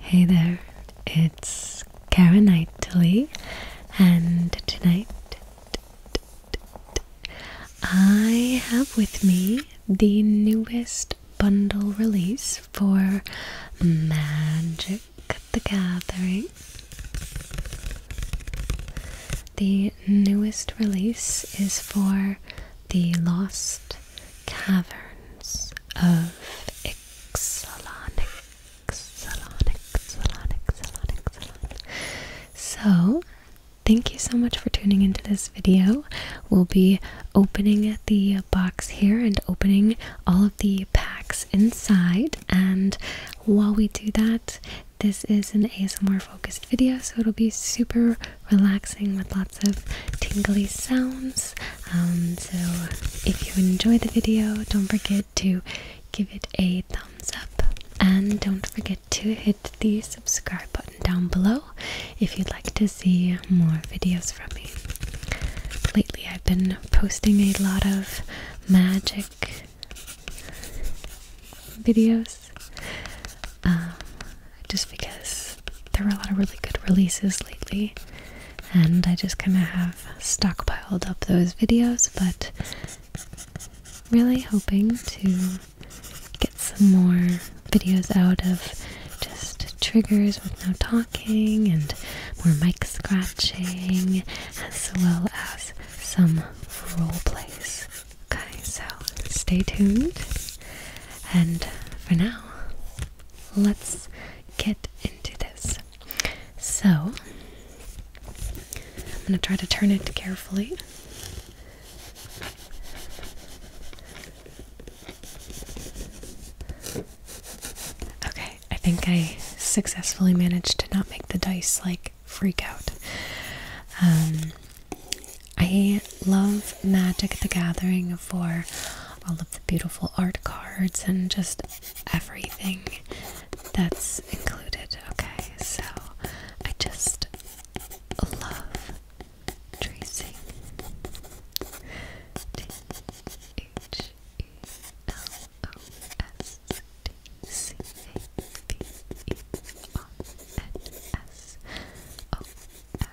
Hey there, it's Karen Knightley, and tonight I have with me the newest bundle release for Magic the Gathering. The newest release is for the Lost caverns of Ixalan, Ixalan, Ixalan, Ixalan, Ixalan. So, thank you so much for tuning into this video. We'll be opening the box here and opening all of the packs inside. And while we do that, this is an ASMR focused video, so it'll be super relaxing with lots of tingly sounds. Um, so if you enjoyed the video, don't forget to give it a thumbs up and don't forget to hit the subscribe button down below if you'd like to see more videos from me. Lately, I've been posting a lot of magic videos. Um, just because there were a lot of really good releases lately and I just kind of have stockpiled up those videos, but really hoping to get some more videos out of just triggers with no talking and more mic scratching as well as some role plays. Okay, so stay tuned and for now, let's get into this. So, I'm going to try to turn it carefully. Okay, I think I successfully managed to not make the dice like freak out. Um, I love Magic the Gathering for all of the beautiful art cards and just everything that's included. Okay, so I just love tracing. T H E L O S T C A B E R N S O F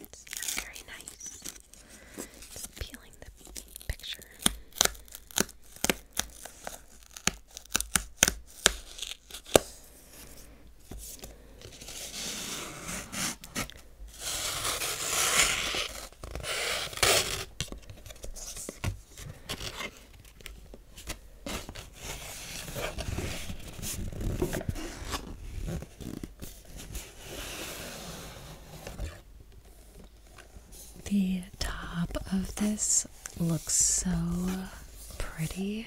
It's very nice. Just peeling the picture. The top of this looks so pretty.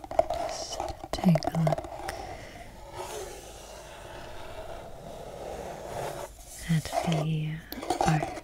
take a look at the art.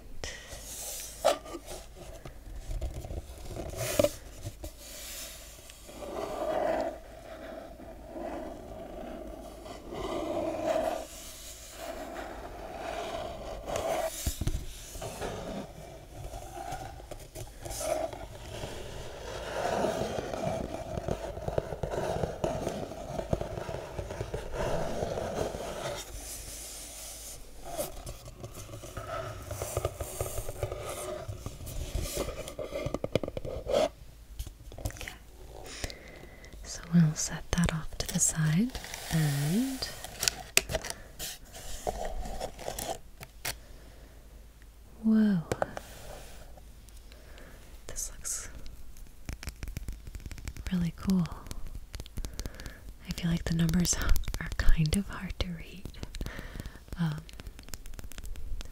So we'll set that off to the side and Whoa. This looks really cool. I feel like the numbers are kind of hard to read. Um,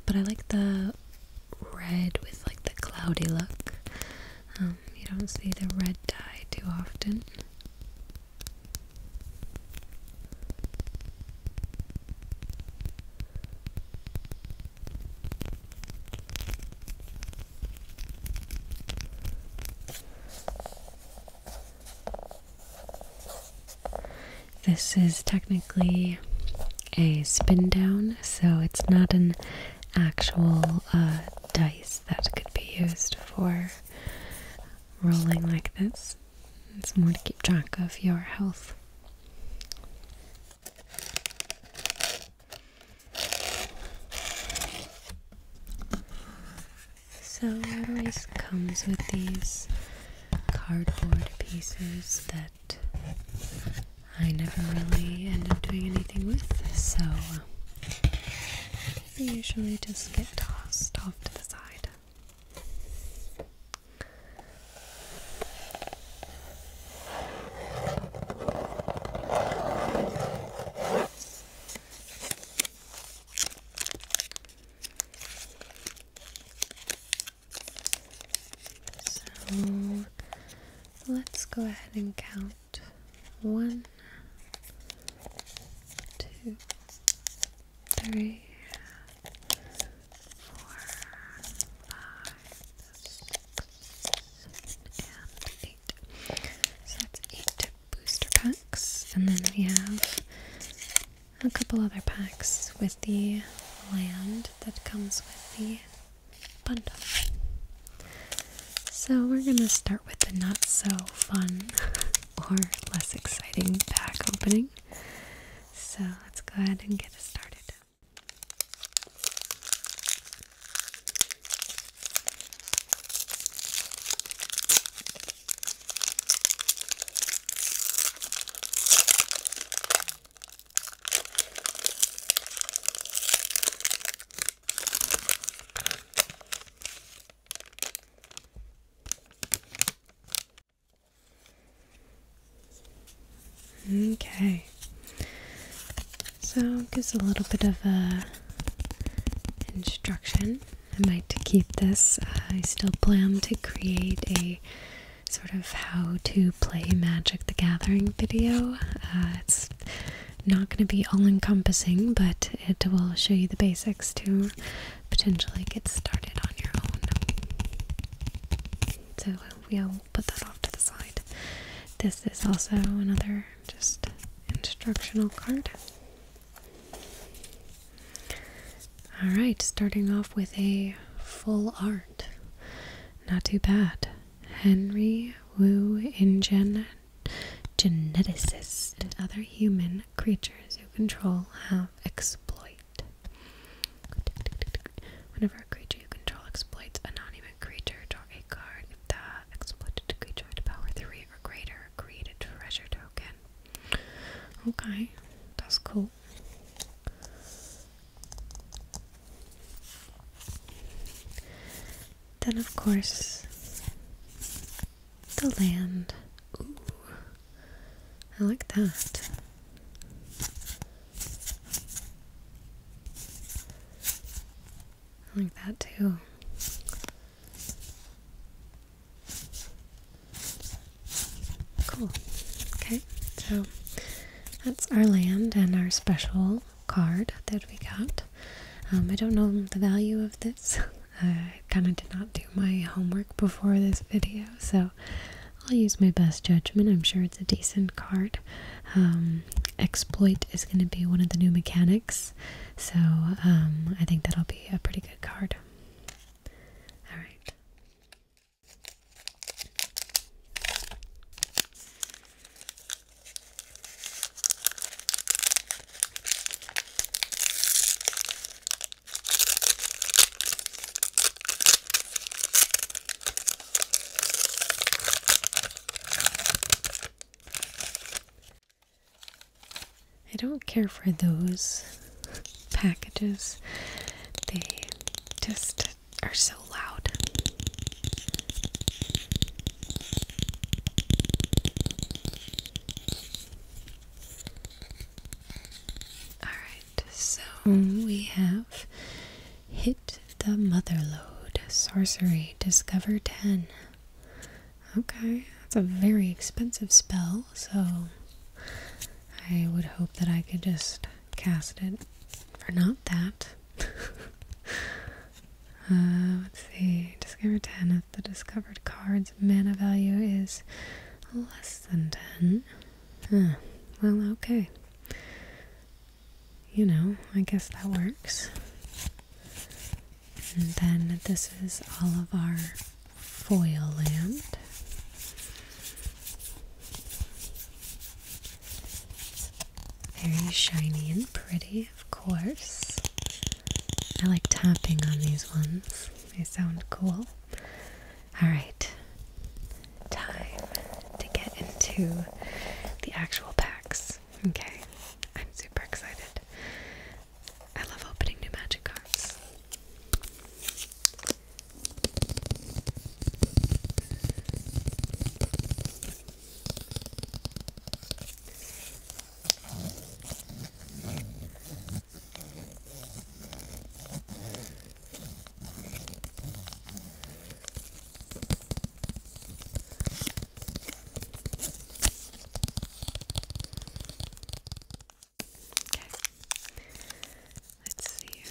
but I like the red with like the cloudy look. Um, you don't see the red tie too often. This is technically a spin down, so it's not an actual uh, dice that could be used for rolling like this. It's more to keep track of your health. So it always comes with these cardboard pieces that I never really end up doing anything with, so they usually just get tossed off to the side. So let's go ahead and count one, two, three, four, five, six, and eight. So that's eight booster packs, and then we have a couple other packs with the land that comes with the bundle. So we're gonna start with the not so fun or less exciting pack opening. So let's go ahead and get started. Okay. So gives a little bit of a uh, instruction. I might keep this. Uh, I still plan to create a sort of how to play Magic the Gathering video. Uh, it's not going to be all encompassing, but it will show you the basics too potentially get started on your own. So uh, we'll put that off to the side. This is also another just instructional card. Alright, starting off with a full art. Not too bad. Henry Wu Ingen geneticist and other human creatures who control how exploit. Whenever a creature you control exploits a non-human creature, draw a card. If exploited creature had power three or greater, create a treasure token. Okay, that's cool. Then, of course, the land. Ooh, I like that. I like that too. Cool. Okay, so that's our land and our special card that we got. Um, I don't know the value of this. I kind of did not do my homework before this video, so I'll use my best judgment. I'm sure it's a decent card. Um, exploit is going to be one of the new mechanics, so um, I think that'll be a pretty good card. Alright. I don't care for those packages. They just are so loud. Alright, so we have hit the motherlode. Sorcery, discover 10. Okay, that's a very expensive spell, so I would hope that I could just cast it for not that. Uh, let's see, discover 10 if the discovered card's mana value is less less than 10. Well, okay. You know, I guess that works. And then this is all of our foil land. Very shiny and pretty, of course. I like tapping on these ones, they sound cool. All right, time to get into the actual packs. Okay, I'm super excited. I love opening new magic cards. Okay. Let's see here.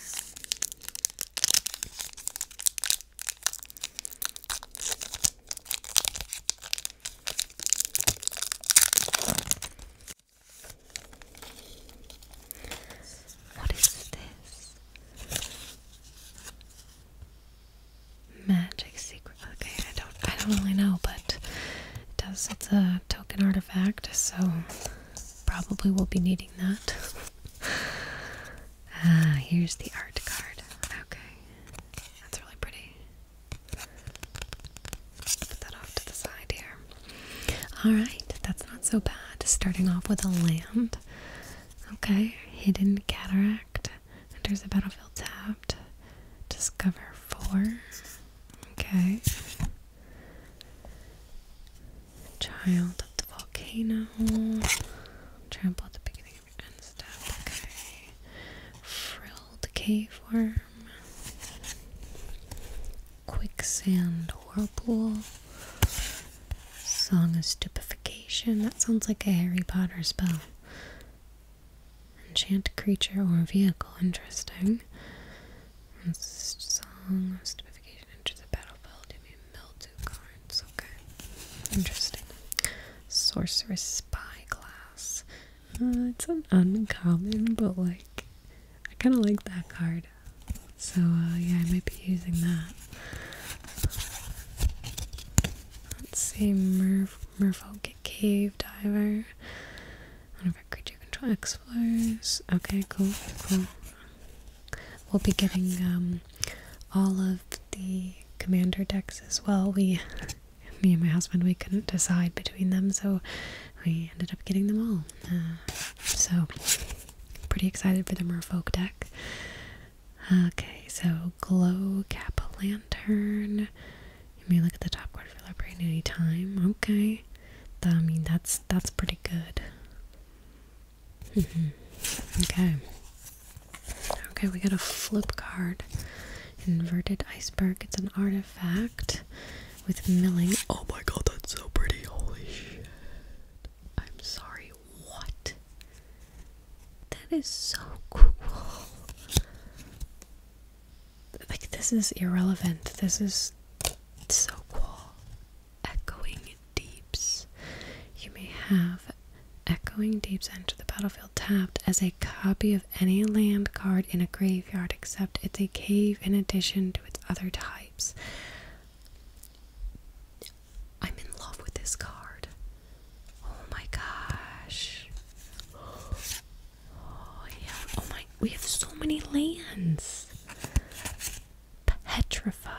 What is this? Magic secret. Okay, I don't I don't really know, but it does it's a token artifact, so probably we'll be needing that. Ah, here's the art card. Okay. That's really pretty. Put that off to the side here. Alright, that's not so bad. Starting off with a land. Okay, hidden cataract. There's a battlefield tapped. Discover four. Okay. Child of the volcano. Trample at the beginning of your end step. Okay. Frilled cave 4 Quicksand Whirlpool. Song of Stupefaction. That sounds like a Harry Potter spell. Enchant creature or vehicle. Interesting. Song of Stupefaction. Enter the battlefield. You mean mildew cards. Okay. Interesting. Sorceress Spyglass. Uh, it's an uncommon, but like I kind of like that card. So uh, yeah, I might be using that. Let's see, Merf Merfolk Cave Diver. One of our creature control explorers. Okay, cool, cool. We'll be getting um all of the commander decks as well. We me and my husband we couldn't decide between them, so we ended up getting them all. Uh, so pretty excited for the Merfolk deck. Okay, so glow cap lantern. You may look at the top card for that at any time. Okay, I mean that's that's pretty good. Mm-hmm. Okay. Okay, we got a flip card. Inverted iceberg. It's an artifact with milling. Oh my god, that's so pretty. Holy shit. I'm sorry, what? That is so cool. Like, this is irrelevant. This is so cool. Echoing Deeps. You may have Echoing Deeps enter the battlefield tapped as a copy of any land card in a graveyard except it's a cave in addition to its other types. I'm in love with this card. Oh my gosh. Oh yeah. Oh my we have so many lands. Petrify.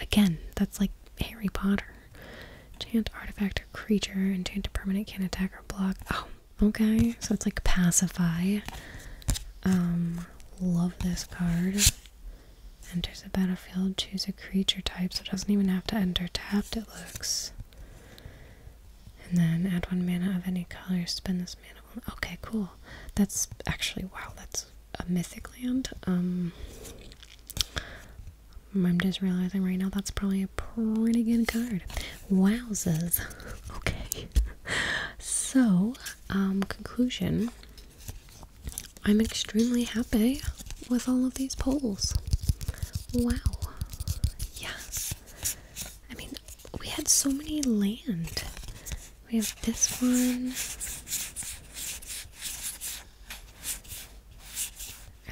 Again, that's like Harry Potter. Chant artifact or creature, enchanted permanent can attack or block. Oh Okay, so it's like pacify. Um, love this card. Enters the battlefield, choose a creature type, so it doesn't even have to enter tapped, it looks. And then add one mana of any color, spend this mana. Okay, cool. That's actually, wow, that's a mythic land. Um, I'm just realizing right now that's probably a pretty good card. Wowzers. Okay. So, um, conclusion. I'm extremely happy with all of these polls. Wow. Yeah, I mean, we had so many land. We have this one.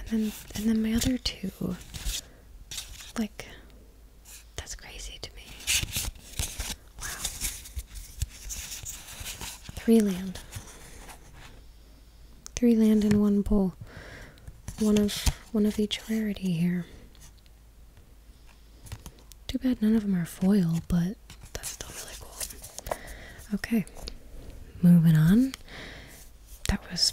And then and then my other two. Like that's crazy to me. Wow. Three land. Three land and one bowl. One of one of each rarity here. Too bad none of them are foil, but that's still really cool. Okay. Moving on. That was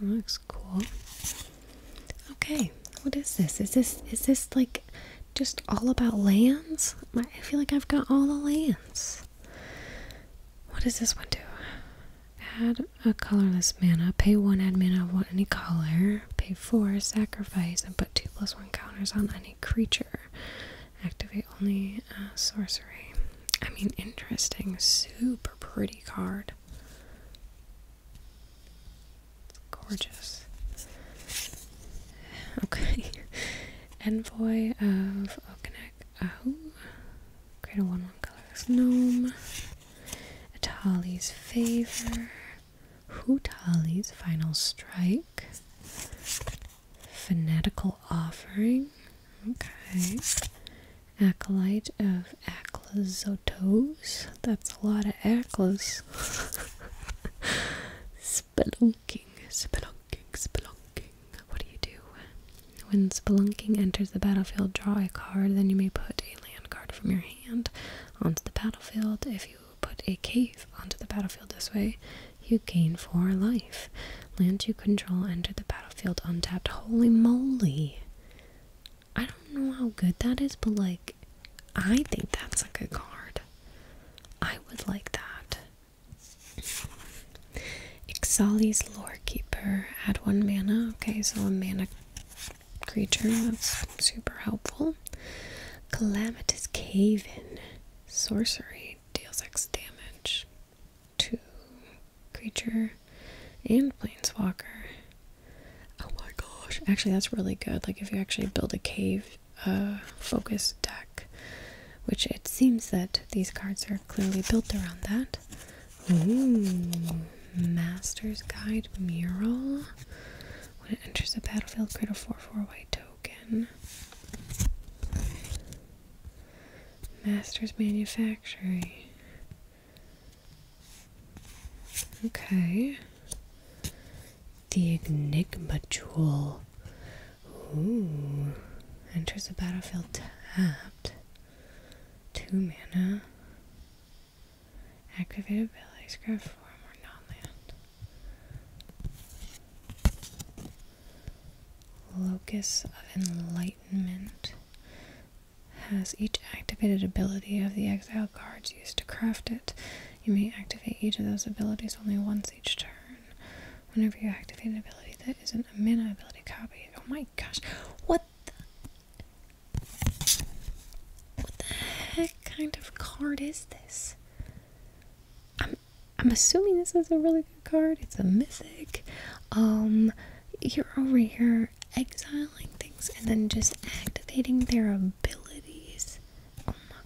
looks cool. Okay, what is this? Is this is this like just all about lands? I feel like I've got all the lands. What does this one do? Add a colorless mana. Pay one, add mana of any color. Pay four, sacrifice, and put two plus one counters on any creature. Activate only uh, sorcery. I mean, interesting. Super pretty card. It's gorgeous. Okay. Envoy of Okanek Ahu. Uh, Create a 1 1 colorless gnome. Atali's favor. Hutali's final strike. Fanatical offering. Okay acolyte of Aclazotos. That's a lot of Aclas. spelunking, spelunking, spelunking. What do you do? When spelunking enters the battlefield, draw a card, then you may put a land card from your hand onto the battlefield. If you put a cave onto the battlefield this way, you gain four life. Land you control enter the battlefield untapped. Holy moly! I don't know how good that is, but like, I think that's a good card. I would like that. Ixali's Lorekeeper. Add one mana. Okay, so a mana creature. That's super helpful. Calamitous Cave-In. Sorcery. Deals X damage to creature and Plainswalker. Oh my gosh. Actually, that's really good. Like if you actually build a cave uh focus deck, which it seems that these cards are clearly built around that. Ooh, mm. Master's Guide Mural. When it enters the battlefield, create a 4 4 white token. Master's Manufacturing. Okay. The Enigma Jewel. Enters the battlefield tapped. Two mana. Activated abilities. Grab form or non-land. Locus of Enlightenment has each activated ability of the exile cards used to craft it. You may activate each of those abilities only once each turn. Whenever you activate an ability that isn't a mana ability copy. Oh my gosh. What the What the heck kind of card is this? I'm I'm assuming this is a really good card. It's a mythic. Um you're over here exiling things and then just activating their abilities. Oh my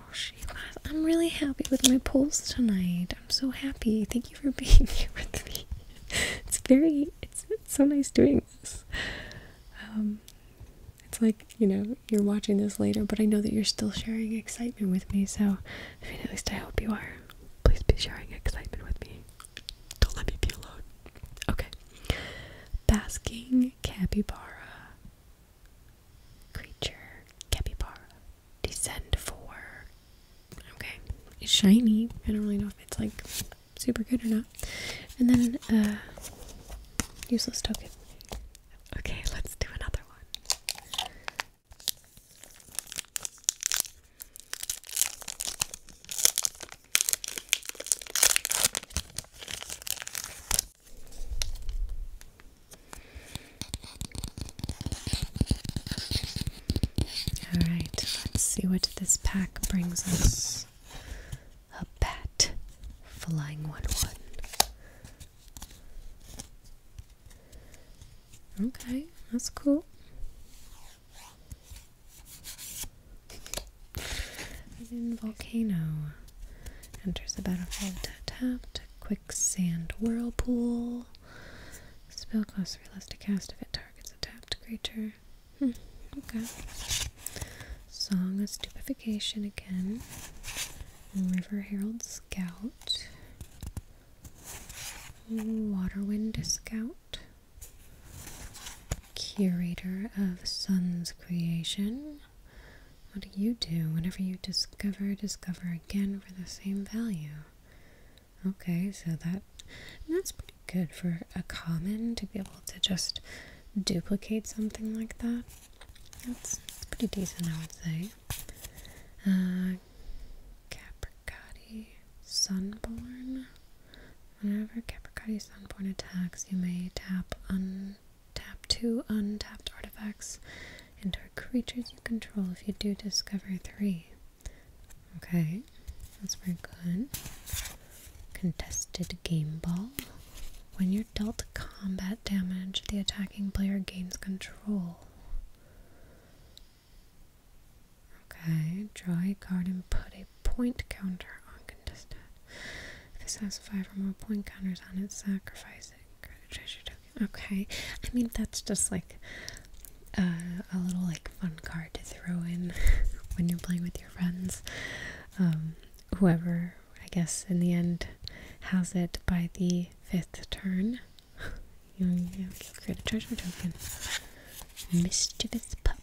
gosh, you guys. I'm really happy with my polls tonight. I'm so happy. Thank you for being here with me. It's very, it's, so nice doing this. Um, it's like, you know, you're watching this later, but I know that you're still sharing excitement with me. So, I mean, at least I hope you are. Please be sharing excitement with me. Don't let me be alone. Okay. Basking capybara. Creature capybara. Descend for. Okay. It's shiny. I don't really know if it's like super good or not. And then, uh, useless token. Okay, let's do another one. All right, let's see what this pack brings us. A bat flying one one. Okay, that's cool. Hidden volcano, enters the battlefield tapped. Quicksand whirlpool. Spell costs three less to cast if it targets a tapped creature. Hmm, okay. Song of stupefaction again. River Herald Scout. Waterwind Scout curator of Sun's creation. What do you do whenever you discover, discover again for the same value? Okay, so that that's pretty good for a common to be able to just duplicate something like that. That's, that's pretty decent, I would say. Uh, Sunborn. Whenever Capricati Sunborn attacks, you may tap un two untapped artifacts into creatures you control if you do discover three. Okay, that's very good. Contested game ball. When you're dealt combat damage, the attacking player gains control. Okay, draw a card and put a point counter on contested. this has five or more point counters on it, sacrifice it. Create a treasure token. Okay, I mean that's just like a little like fun card to throw in when you're playing with your friends. Um, whoever, I guess, in the end has it by the fifth turn, you, you create a treasure token. Mischievous pup.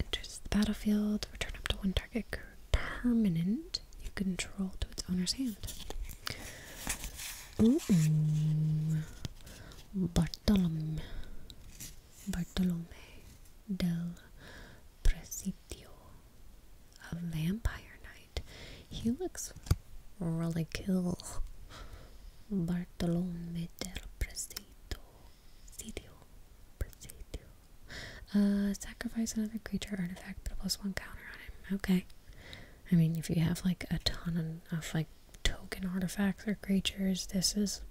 Enters the battlefield. Return up to one target permanent you control to its owner's hand. Bartolome. Bartolome del Presidio. A vampire knight he looks really cool. Bartolome del Presidio. Presidio. Presidio. Uh, sacrifice another creature artifact, put a plus one counter on him. Okay. I mean, if you have like a ton of like token artifacts or creatures, this is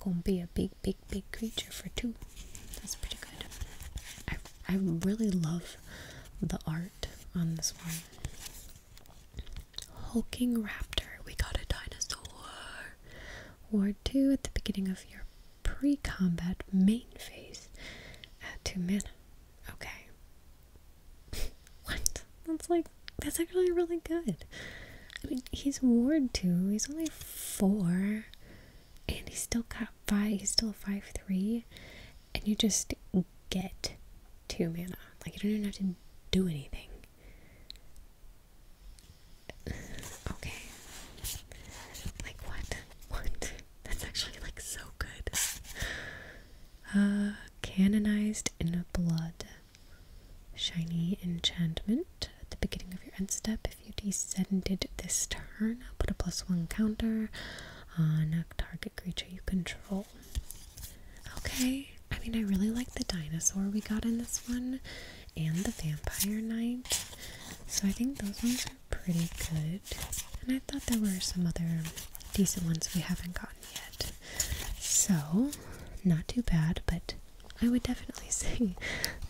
gonna be a big, big, big creature for two. That's pretty good. I, I really love the art on this one. Hulking Raptor. We got a dinosaur. War 2 at the beginning of your pre combat main phase. Add 2 mana. Okay. what? That's like, that's actually really good. I mean, he's Ward 2. He's only 4. And he's still got 5. He's still 5 3 and you just get two mana. Like, you don't even have to do anything. Okay. Like, what? What? That's actually, like, so good. Uh, canonized in blood. Shiny enchantment. At the beginning of your end step, if you descended this turn, I'll put a plus one counter on a target creature you control. Okay. I mean, I really like the dinosaur we got in this one and the vampire knight. So I think those ones are pretty good. And I thought there were some other decent ones we haven't gotten yet. So, not too bad, but I would definitely say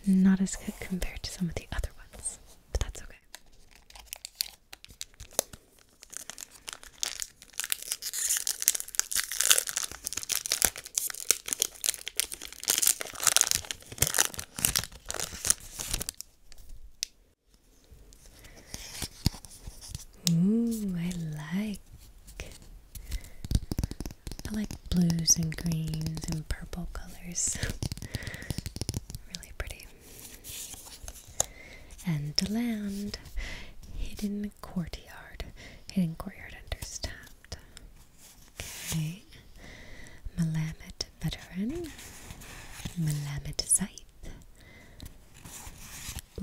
not as good compared to some of the other ones. But that's okay. Ooh, I like I like blues and greens and purple colors. really pretty and land hidden courtyard hidden courtyard understaffed okay Melamed veteran Melamed scythe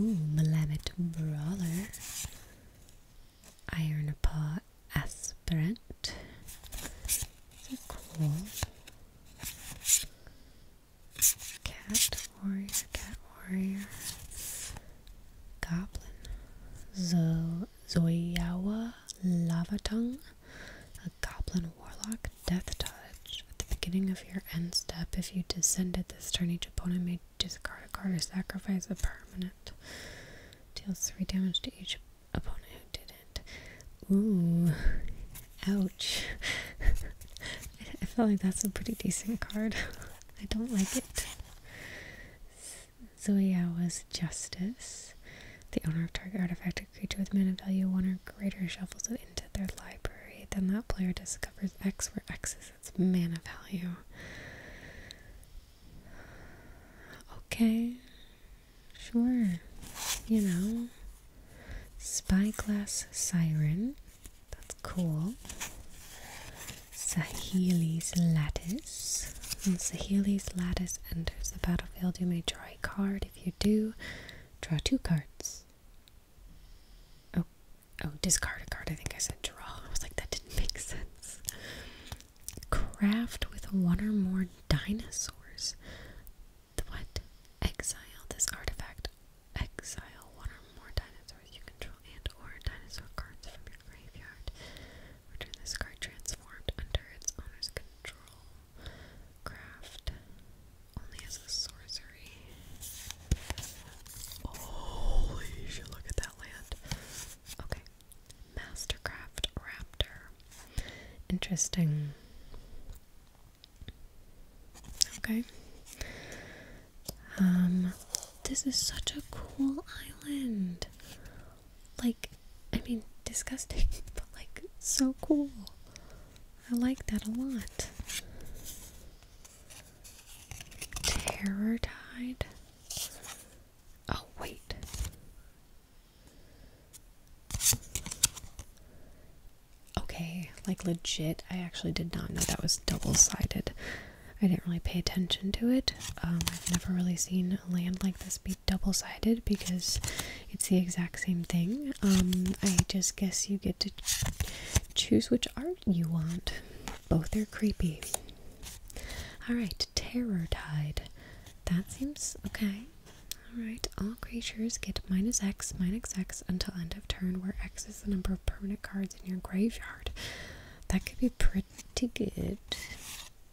ooh Melamed brawler iron paw aspirant cool Cat warrior, cat warrior, goblin, Zo Zoyawa lava tongue, a goblin warlock, death touch. At the beginning of your end step, if you descended this turn, each opponent may discard a card or sacrifice a permanent. Deals three damage to each opponent who did it. Ooh, ouch. I feel like that's a pretty decent card. I don't like it. was Justice. The owner of target artifact or creature with mana value 1 or greater shuffles it into their library. Then that player discovers X, where X is its mana value. Okay, sure. You know, Spyglass Siren. That's cool. Saheli's Lattice. When Saheli's Lattice enters the battlefield, you may draw a card. If you do, draw two cards. Oh, oh, discard a card. I think I said draw. I was like, that didn't make sense. Craft with one or more dinosaurs what? Exile this artifact. Exile one or more dinosaurs you control and or dinosaur cards from your graveyard. Return this card transformed under its owner's control. Craft only as a sorcery. Holy look at that land. Okay. Mastercraft Raptor. Interesting. Okay. Um, this is such a cool island. Like, I mean, disgusting, but like, so cool. I like that a lot. Terror tide. Oh, wait okay, like legit. I actually did not know that was double sided. I didn't really pay attention to it. Um, I've never really seen a land like this be double sided because it's the exact same thing. Um, I just guess you get to choose which art you want. Both are creepy. Alright, Terror Tide. That seems okay. Alright, all creatures get minus X, minus X until end of turn, where X the number of permanent cards in your graveyard. That could be pretty good.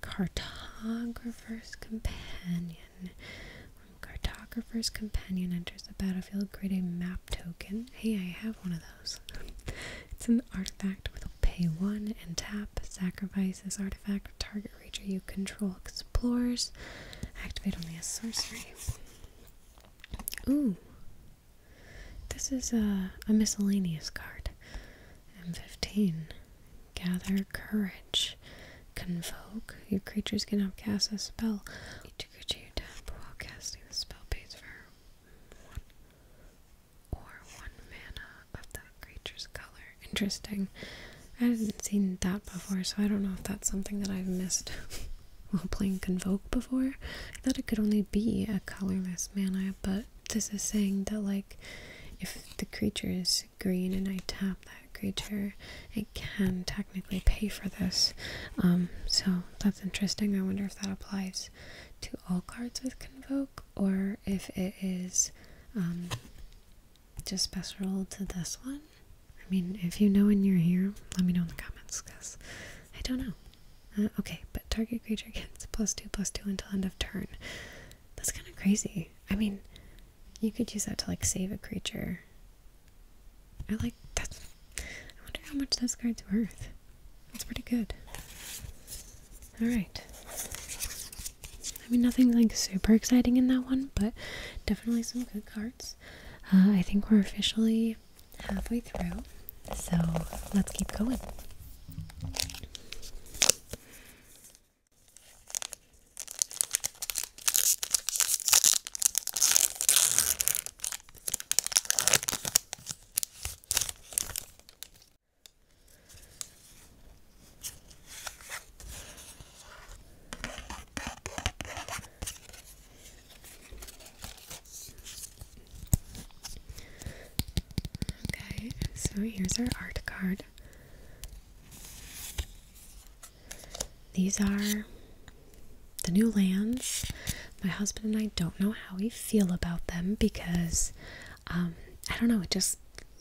Cartographer's Companion. When Cartographer's Companion enters the battlefield, create a map token. Hey, I have one of those. it's an artifact with pay one and tap. Sacrifice this artifact. Target creature you control explores. Activate only as sorcery. Ooh. This is a, a miscellaneous card. M15. Gather courage. Convoke. Your creatures can cast a spell. Each tap while casting the spell pays for one or one mana of that creature's color. Interesting. I hadn't seen that before, so I don't know if that's something that I've missed. while playing Convoke before. I thought it could only be a colorless mana, but this is saying that, like, if the creature is green and I tap that creature, it can technically pay for this. Um, so that's interesting. I wonder if that applies to all cards with Convoke or if it is um, just special to this one. I mean, if you know and you're here, let me know in the comments, because I don't know. Uh, okay, but target creature gets plus two, plus two until end of turn. That's kind of crazy. I mean, you could use that to, like, save a creature. I like that. I wonder how much this card's worth. That's pretty good. Alright. I mean, nothing, like, super exciting in that one, but definitely some good cards. Uh, I think we're officially halfway through, so let's keep going. Okay, so here's our art card. These are the new lands. My husband and I don't know how we feel about them because um, I don't know, it just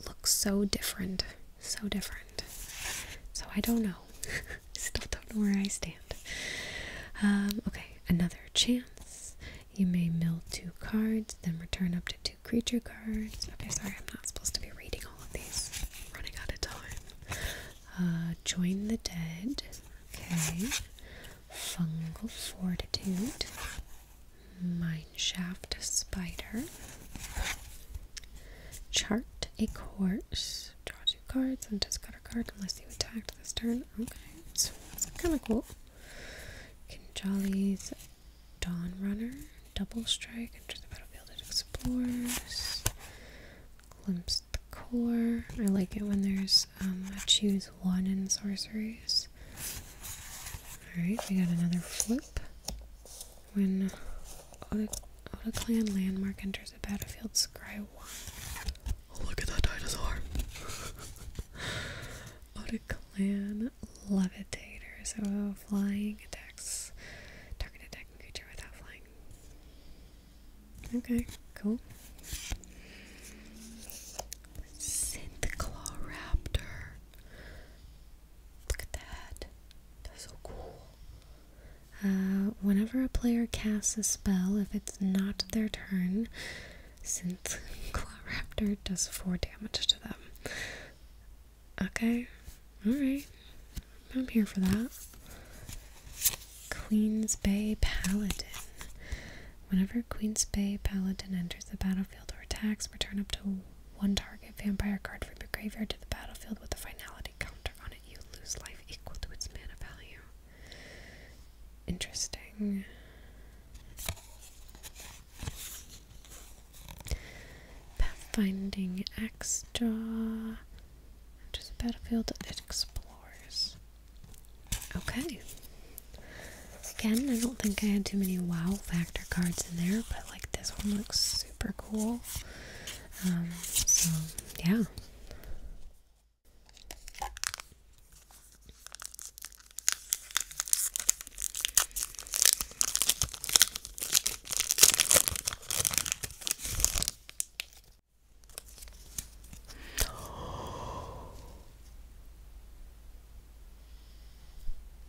looks so different. So different. So I don't know. Still don't know where I stand. Um, okay, another chance. You may mill two cards, then return up to two creature cards. Okay, sorry, I'm not supposed to be reading all of these. running out of time. Uh, join the dead. Okay. Fungal fortitude. Mineshaft spider. Chart a course cards and just got a card unless you attacked this turn. Okay, so that's kind of cool. Jolly's Dawn Runner, Double Strike, enters the battlefield it explores, Glimpse the Core. I like it when there's, um, I choose one in sorceries. Alright, we got another flip. When uh, out clan landmark enters a battlefield scry one. Oh, look at that dinosaur. Out clan levitator. So uh, flying attacks. Target attacking creature without flying. Okay, cool. Synthclaw Raptor. Look at that. That's so cool. Uh, whenever a player casts a spell, if it's not their turn, since Claw does 4 damage to them. Okay, alright. I'm here for that. Queens Bay Paladin. Whenever Queens Bay Paladin enters the battlefield or attacks, return up to one target vampire card from your graveyard to the battlefield with a finality counter on it, you lose life equal to its mana value. Interesting. Pathfinding extra Jaw. Enters the battlefield, it explores. Okay. Again, I don't think I had too many wow factor cards in there, but like this one looks super cool. Um, so, yeah.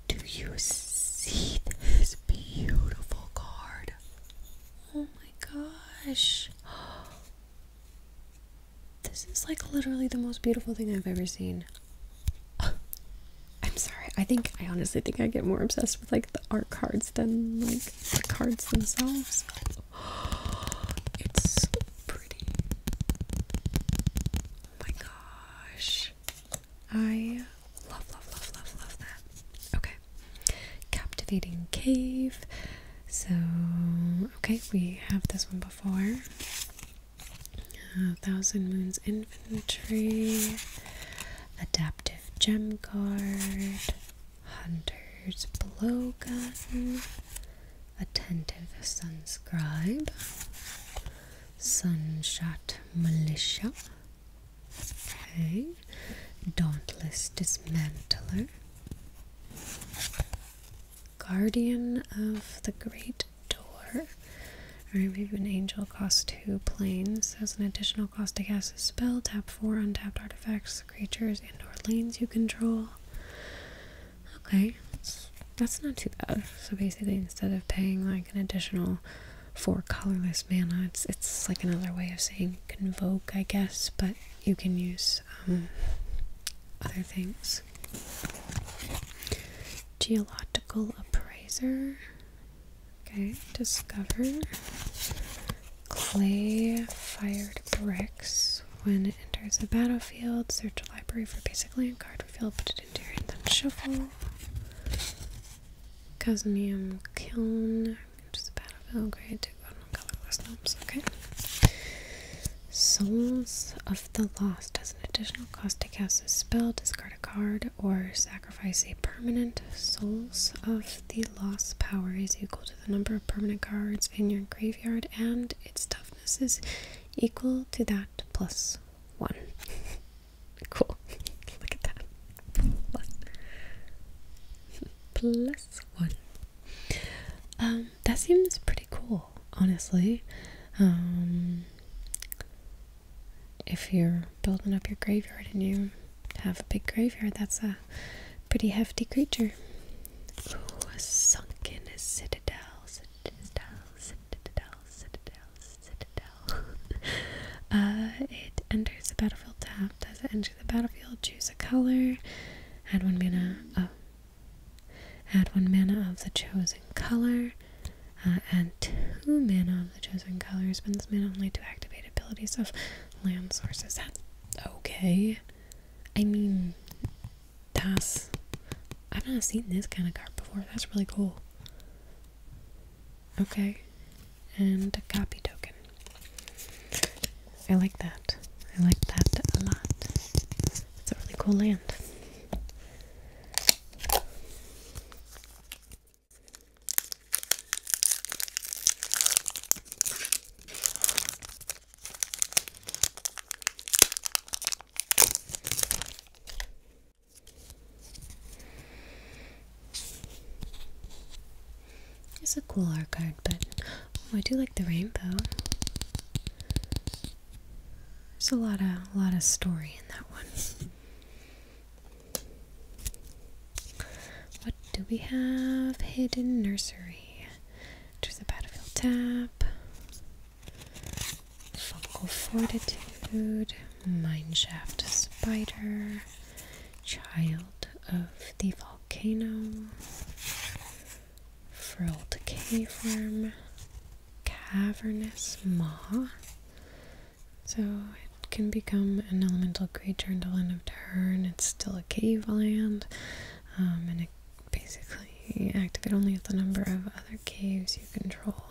Do you see this beautiful card? Oh my gosh. This is like literally the most beautiful thing I've ever seen. I'm sorry. I think I honestly think I get more obsessed with like the art cards than like the cards themselves. It's so pretty. Oh my gosh. I love love love love love that. Okay. Captivating Cave. So, okay, we have this one before. Uh, thousand Moons Infantry. Adaptive Gem Guard. Hunter's Blowgun. Attentive Sunscribe. Sunshot Militia. Okay, Dauntless Dismantler, Guardian of the Great Door. or we an angel cost two planes. as an additional cost to cast a spell. Tap four untapped artifacts, creatures, and or lanes you control. Okay, that's, that's not too bad. So basically instead of paying like an additional four colorless mana, it's it's like another way of saying convoke, I guess, but you can use um, other things. Geological appraiser. Okay, discover clay fired bricks. When it enters the battlefield, search a library for basic land card, reveal, put it into your hand, then shuffle. Cosmium kiln, to the battlefield, grade to go on colorless Okay. Souls of the Lost has an additional cost to cast a spell, discard a card, or sacrifice a permanent. Souls of the Lost power is equal to the number of permanent cards in your graveyard, and its toughness is equal to that plus one. cool. Look at that plus, plus one. Um, that seems pretty cool, honestly. Um, if you're building up your graveyard and you have a big graveyard, that's a pretty hefty creature. Ooh, a sunken citadel, citadel, citadel, citadel, citadel. uh, it enters the battlefield tapped as an the battlefield, choose a color, add one mana of add one mana of the chosen color, uh, add two mana of the chosen color, spend mana only to activate abilities of land sources. That's okay. I mean, that's I've not seen this kind of card before. That's really cool. Okay, and a copy token. I like that. I like that a lot. It's a really cool land. It's a cool art card, but oh, I do like the rainbow. There's a lot of lot of story in that one. What do we have? Hidden nursery. There's a battlefield tap. Fungal fortitude. Mineshaft spider. Child of the volcano, frilled caveworm, cavernous maw. So it can become an elemental creature until end of turn. It's still a cave land, um, and it basically activate only if the number of other caves you control.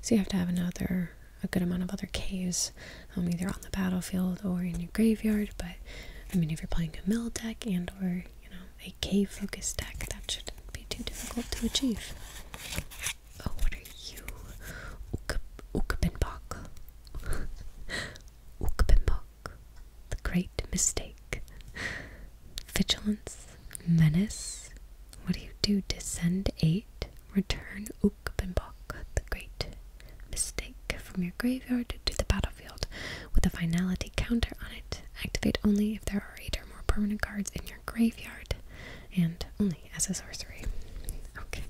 So you have to have another a good amount of other caves, um, either on the battlefield or in your graveyard. But I mean, if you're playing a mill deck and or you know a cave focused deck, that shouldn't be too difficult to achieve. Oh, what are you, Ukbenbach? Ukbenbach, the great mistake. Vigilance, menace. What do you do? Descend eight. Return Oop Ogunbok, the great mistake, from your graveyard to the battlefield, with a finality counter on it. Activate only if there are eight or more permanent cards in your graveyard, and only as a sorcery. Okay,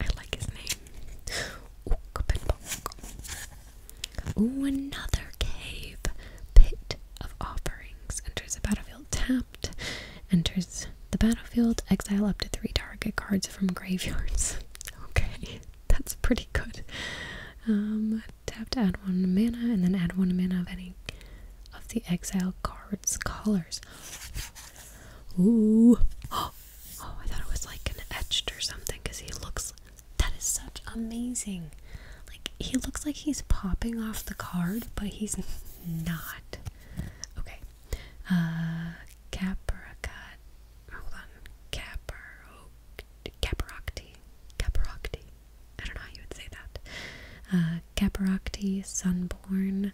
I like his name. Ooh, another cave. Pit of offerings. Enters the battlefield tapped. Enters the battlefield, exile up to three target cards from graveyards. okay, that's pretty good. Um, tap to add one mana, and then add one mana of any of the exile cards' colors. Ooh. Oh, I thought it was like an etched or something because he looks. That is such amazing. Like, he looks like he's popping off the card, but he's not. Okay. Uh, Capricot. Hold on. Capro. Caprocti. Caprocti. I don't know how you would say that. Uh, Sunborn,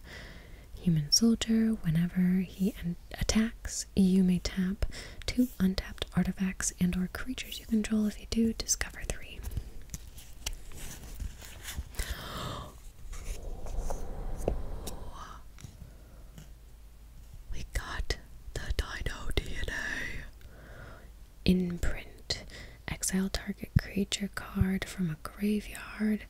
Human Soldier. Whenever he attacks, you may tap two untapped artifacts and/or creatures you control. If you do, discover three. We got the dino DNA. Imprint. Exile target creature card from a graveyard.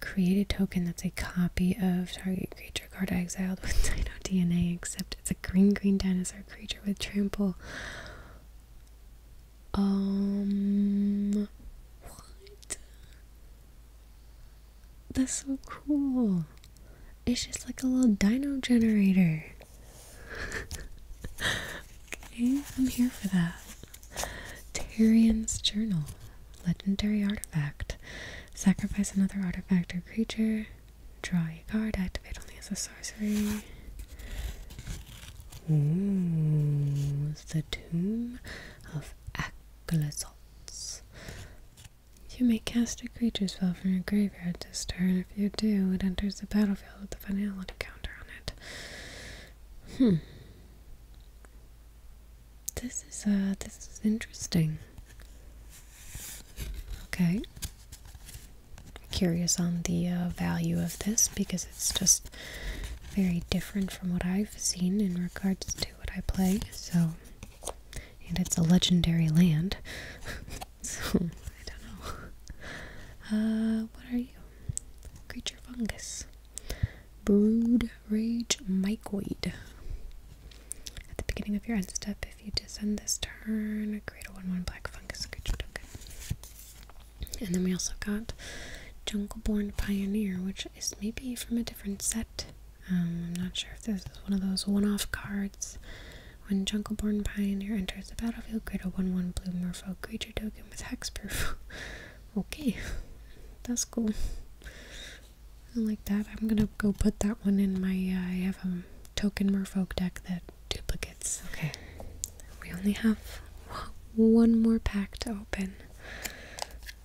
Create a token that's a copy of target creature card exiled with dino DNA, except it's a green green dinosaur creature with trample. Um what? That's so cool. It's just like a little dino generator. okay, I'm here for that. Tarian's Journal. Legendary artifact. Sacrifice another artifact or creature. Draw a card. Activate only as a sorcery. Ooh, the Tomb of Aklazot. You may cast a creature's spell from your graveyard this turn. If you do, it enters the battlefield with the finality counter on it. Hmm. This is uh this is interesting. Okay. Curious on the uh, value of this because it's just very different from what I've seen in regards to what I play, so and it's a legendary land. so I don't know. Uh, what are you? Creature fungus. Brood rage mycoid. At the beginning of your end step, if you descend this turn, create a 1 1 black fungus creature token. And then we also got jungle-born Pioneer, which is maybe from a different set. Um, I'm not sure if this is one of those one-off cards. When Jungleborn Pioneer enters the battlefield, create a 1-1 blue Merfolk creature token with hexproof. okay, that's cool. I like that. I'm gonna go put that one in my, uh, I have a token Merfolk deck that duplicates. Okay, we only have one more pack to open.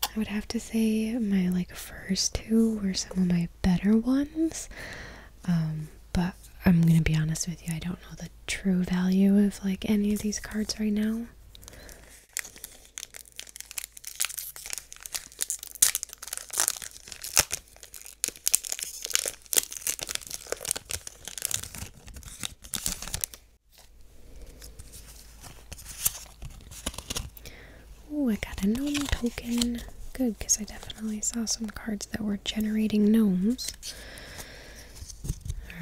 I would have to say my like first two were some of my better ones. Um, but I'm gonna be honest with you, I don't know the true value of like any of these cards right now. Oh, I got a gnome token. Good, because I definitely saw some cards that were generating gnomes.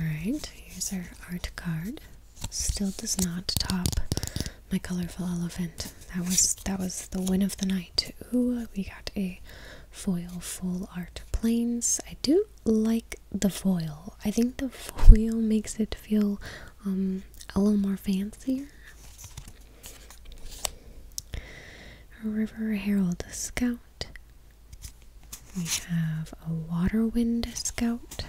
Alright, here's our art card. Still does not top my colorful elephant. That was that was the win of the night. Ooh, we got a foil full art planes. I do like the foil. I think the foil makes it feel um, a little more fancier. River Herald Scout. We have a Waterwind Scout.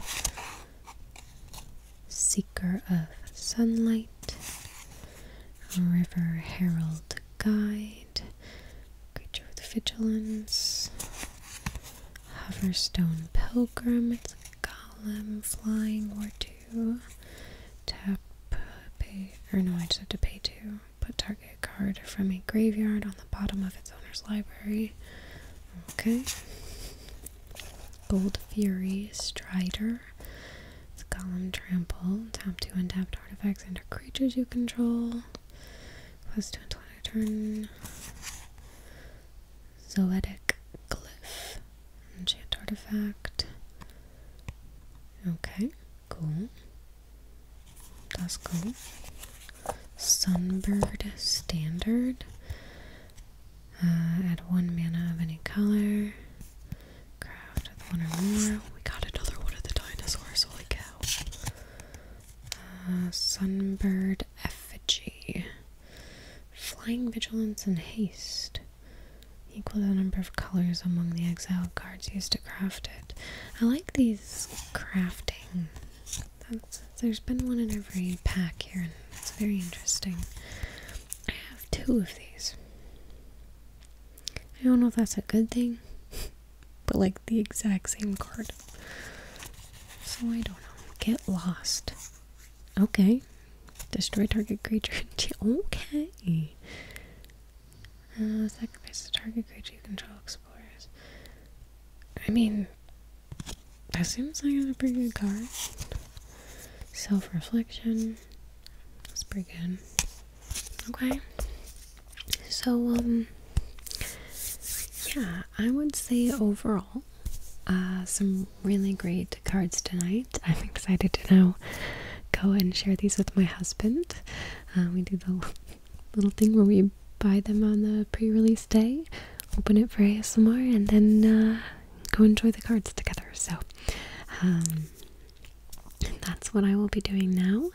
Seeker of Sunlight. River Herald Guide. Creature with Vigilance. Hoverstone Pilgrim, it's a golem flying or two. Tap, pay, or no, I just have to pay two. Put target card from a graveyard on the bottom of its owner's library. Okay. Gold Fury Strider. It's golem trample. Tap two untapped artifacts and creatures you control. Plus two until turn. Zoetic Glyph. Enchant artifact. Okay, cool. That's cool. Sunbird Standard. Uh, add one mana of any color. Craft with one or more. We got another one of the dinosaurs. Holy cow. Uh, sunbird Effigy. Flying Vigilance and Haste. Equal the number of colors among the exiled guards used to craft it. I like these crafting. there's been one in every pack here, and it's very interesting. I have two of these. I don't know if that's a good thing, but like the exact same card. So I don't know. Get lost. Okay. Destroy target creature. okay. Uh, sacrifice the target creature you control explorers. I mean, that seems like a pretty good card. Self reflection. That's pretty good. Okay. So, um, yeah, I would say overall, uh, some really great cards tonight. I'm excited to now go and share these with my husband. Uh, we do the little thing where we buy them on the pre-release day, open it for ASMR, and then uh, go enjoy the cards together. So, um, that's what I will be doing now.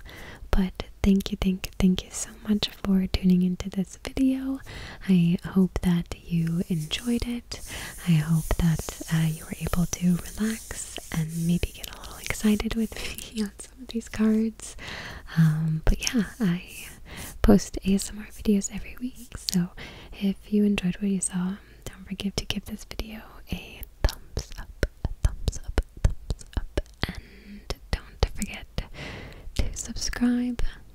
But thank you, thank you, thank you so much for tuning into this video. I hope that you enjoyed it. I hope that uh, you were able to relax and maybe get a little excited with me on some of these cards. Um, but yeah, I post ASMR videos every week, so if you enjoyed what you saw, don't forget to give this video a thumbs up, thumbs up, a thumbs up, and don't forget to subscribe